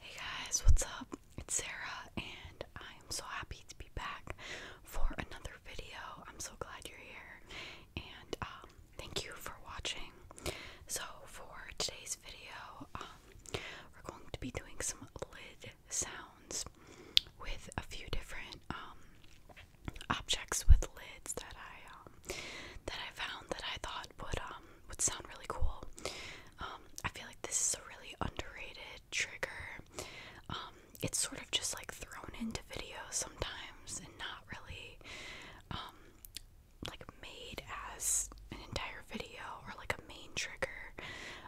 Hey guys, what's up? It's Sarah, and I am so happy to be back for another video. I'm so glad you're here, and um, thank you for watching. So, for today's video, um, we're going to be doing some lid sounds with a few different um, objects with lids that I that I found that I thought would um would sound really cool. Um, I feel like this is a really underrated trigger. Um, it's sort of just like thrown into videos sometimes and not really um like made as an entire video or like a main trigger.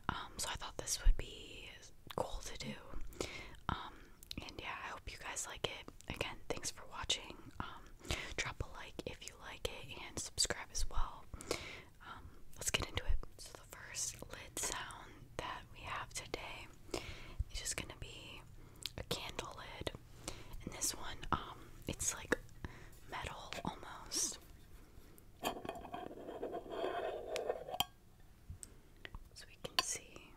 Um, so I thought this would be cool to do. Um, and yeah, I hope you guys like it. Again, thanks for watching. Um, drop a like if you like it and subscribe as well. Um, let's get into it. So the first lid sound that we have today is just gonna be a candle lid. And this one, um, it's like metal almost. So we can see.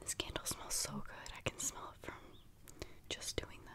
This candle smells so good. I can smell it from just doing that.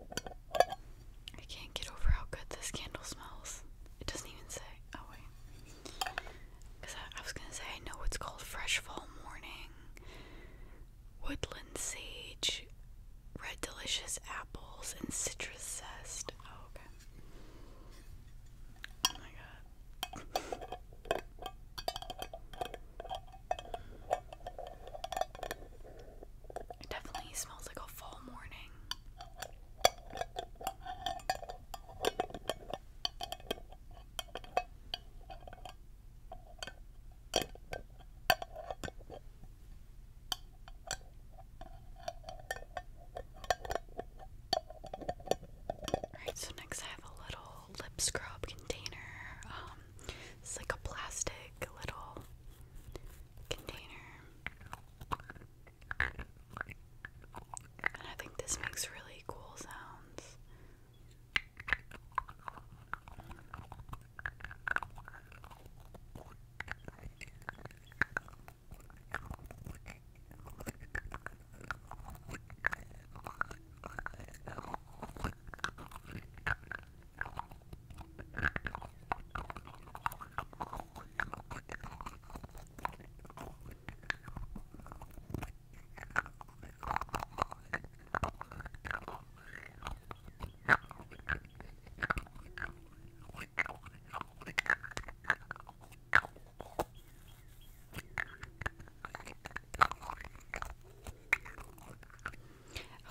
I can't get over how good this candle smells. It doesn't even say. Oh, wait. Because I, was going to say, I know it's called Fresh Fall Morning, Woodland Sage, Red Delicious Apples, and Citrus Zest. Oh, okay. Oh my god. It definitely smells like a fall morning. Alright, so next I have a little lip scrub container. Um, it's like a plastic little container. And I think this makes really cool sounds. I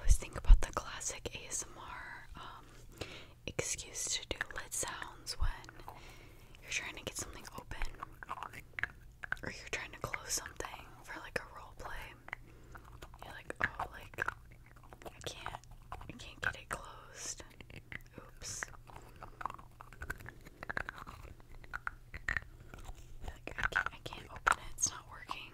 always think about the classic ASMR um, excuse to do lid sounds when you're trying to get something open or you're trying to close something for like a role play. You're like, oh, like I can't, I can't get it closed. Oops. Like, I, can't, I can't open it. It's not working.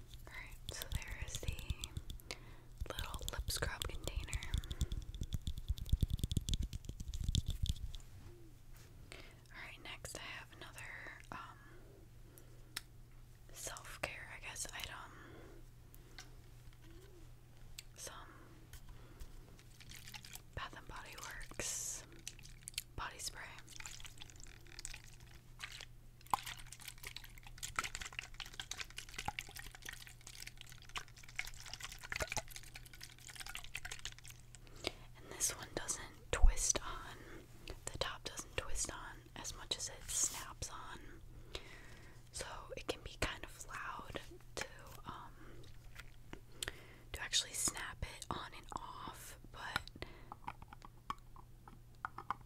Alright, so there is the little lip scrub container. Alright, next I have another um, self care, I guess, item. Some Bath and Body Works body spray. And this one doesn't twist on, the top doesn't twist on as much as it snaps on. So it can be kind of loud to um to actually snap it on and off, but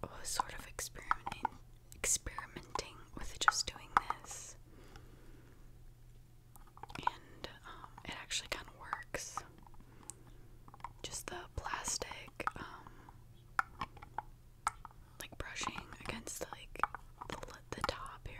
was sort of experimenting experimenting with just doing this. And um, it actually kind of works. Just the plastic, um, like brushing against like the, the top here.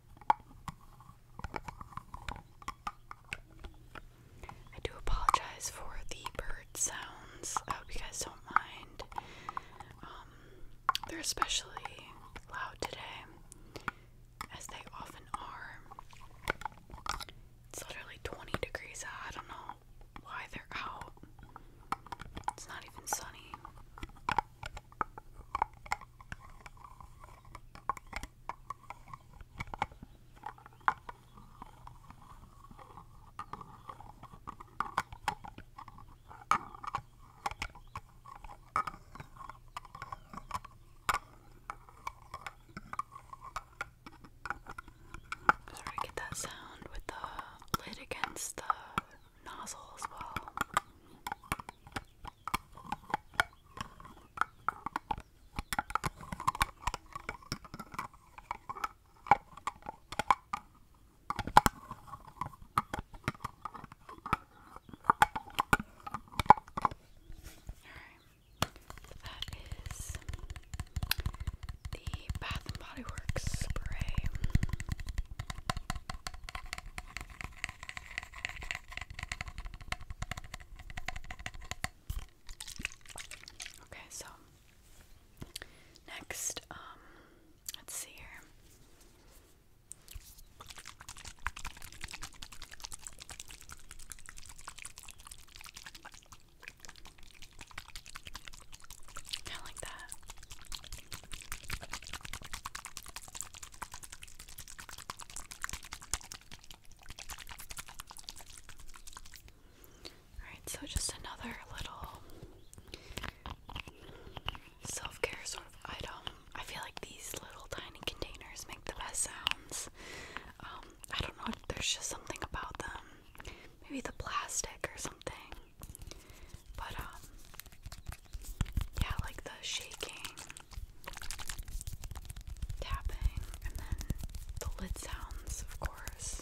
I do apologize for the bird sounds. Uh, I hope you guys don't mind. Um, they're especially loud today, as they often are. It's literally 20 degrees I don't know why they're out. It's not even sunny. Sort of get that sound with the lid against the nozzle as well. That is the Bath and Body Works spray. Okay, so next, um, let's see here. Kind of like that. Alright, so just another little self care sort of item. I feel like these little tiny containers make the best sounds. Um, I don't know, there's just something about them. Maybe the plastic or something. But, um, yeah, like the shaking tapping, and then the lid sounds, of course.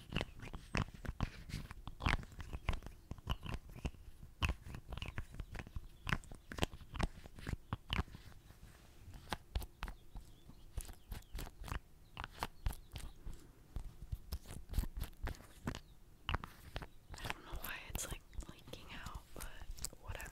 I don't know why it's like leaking out, but whatever.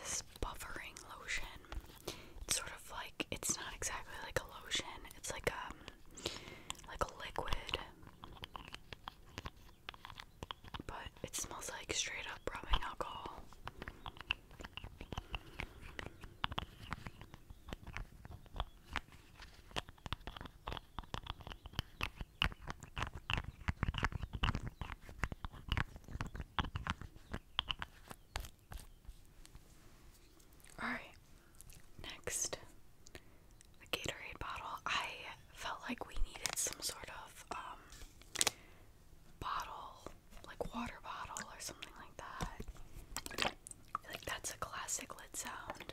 This buffering lotion. It's sort of like it's not exactly like a lotion. It's like um like a liquid. But it smells like straight up rubbing alcohol. Alright, next the Gatorade bottle. I felt like we needed some sort of um, bottle, like water bottle or something like that. Like that's a classic lid sound.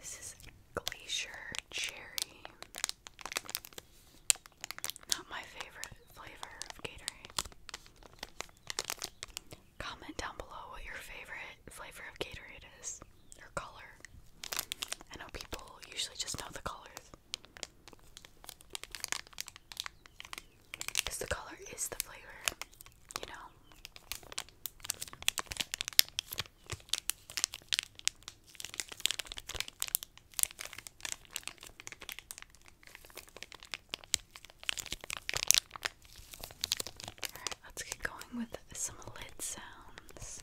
This is Glacier Cherry. Not my favorite flavor of Gatorade. Comment down below what your favorite flavor of Gatorade is, or color. I know people usually just know the colors. Because the color is the flavor, you know? Alright, let's get going with some lid sounds for this.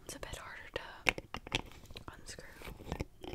It's a bit harder to unscrew.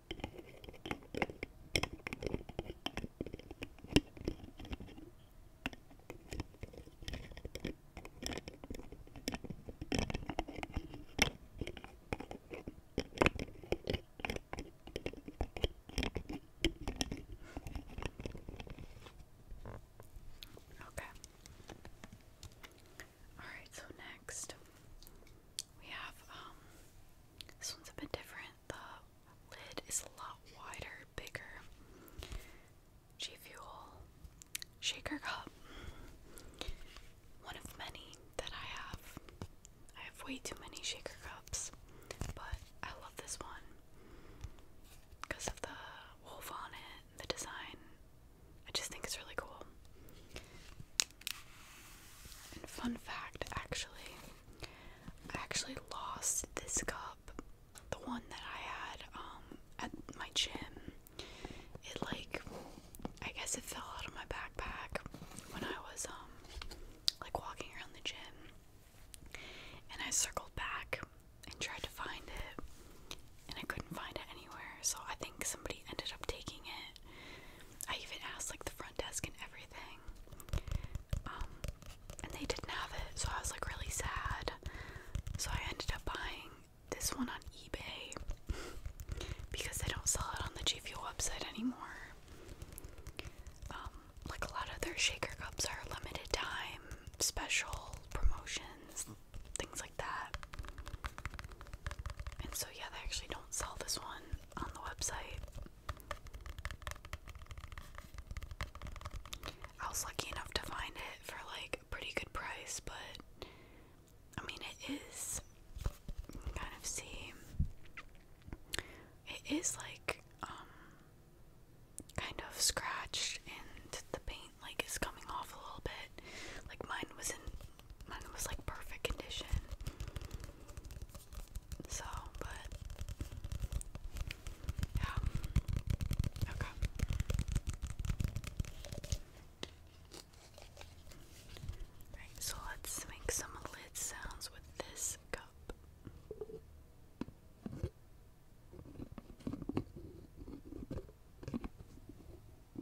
Okay. All right, so next we have um this one's a bit different. The lid is a lot wider, bigger. G Fuel shaker cup. One of many that I have. I have way too many shaker cups, but I love this one because of the wolf on it, the design. I just think it's really cool. And fun fact actually, I actually lost this cup, the one that I had um, at my gym. It like I guess it fell out of my backpack when I was um like walking around the gym. And I circled back and tried to find it and I couldn't find it anywhere. So I think somebody ended up taking it. I even asked like the front desk and everything. Um, and they didn't have it, so I was like really sad. So I ended up buying this one on eBay because they don't sell it on the G Fuel website anymore. Um, like a lot of their shaker cups are limited time, special promotions, things like that. And so, yeah, they actually don't sell this one on the website. I was lucky enough to find it for like a pretty good price, but I mean, it is. kind of see. It is like, um, kind of scratched, and the paint like is coming off a little bit. Like mine wasn't mine was like perfect condition. So, but yeah. Okay. Right, so let's make some lid sounds with this cup.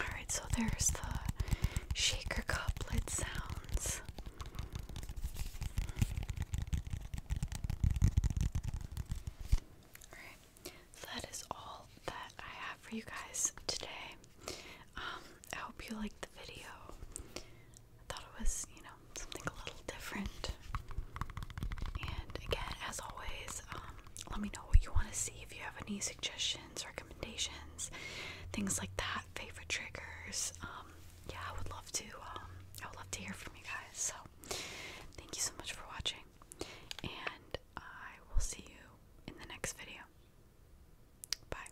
Alright, so there's the shaker couplet sounds. Alright, so that is all that I have for you guys today. Um, I hope you liked the video. I thought it was, you know, something a little different. And again, as always, um, let me know what you want to see if you have any suggestions, recommendations, things like that, favorite triggers. Um, yeah, I would love to. Um, I would love to hear from you guys. So, thank you so much for watching, and I will see you in the next video. Bye.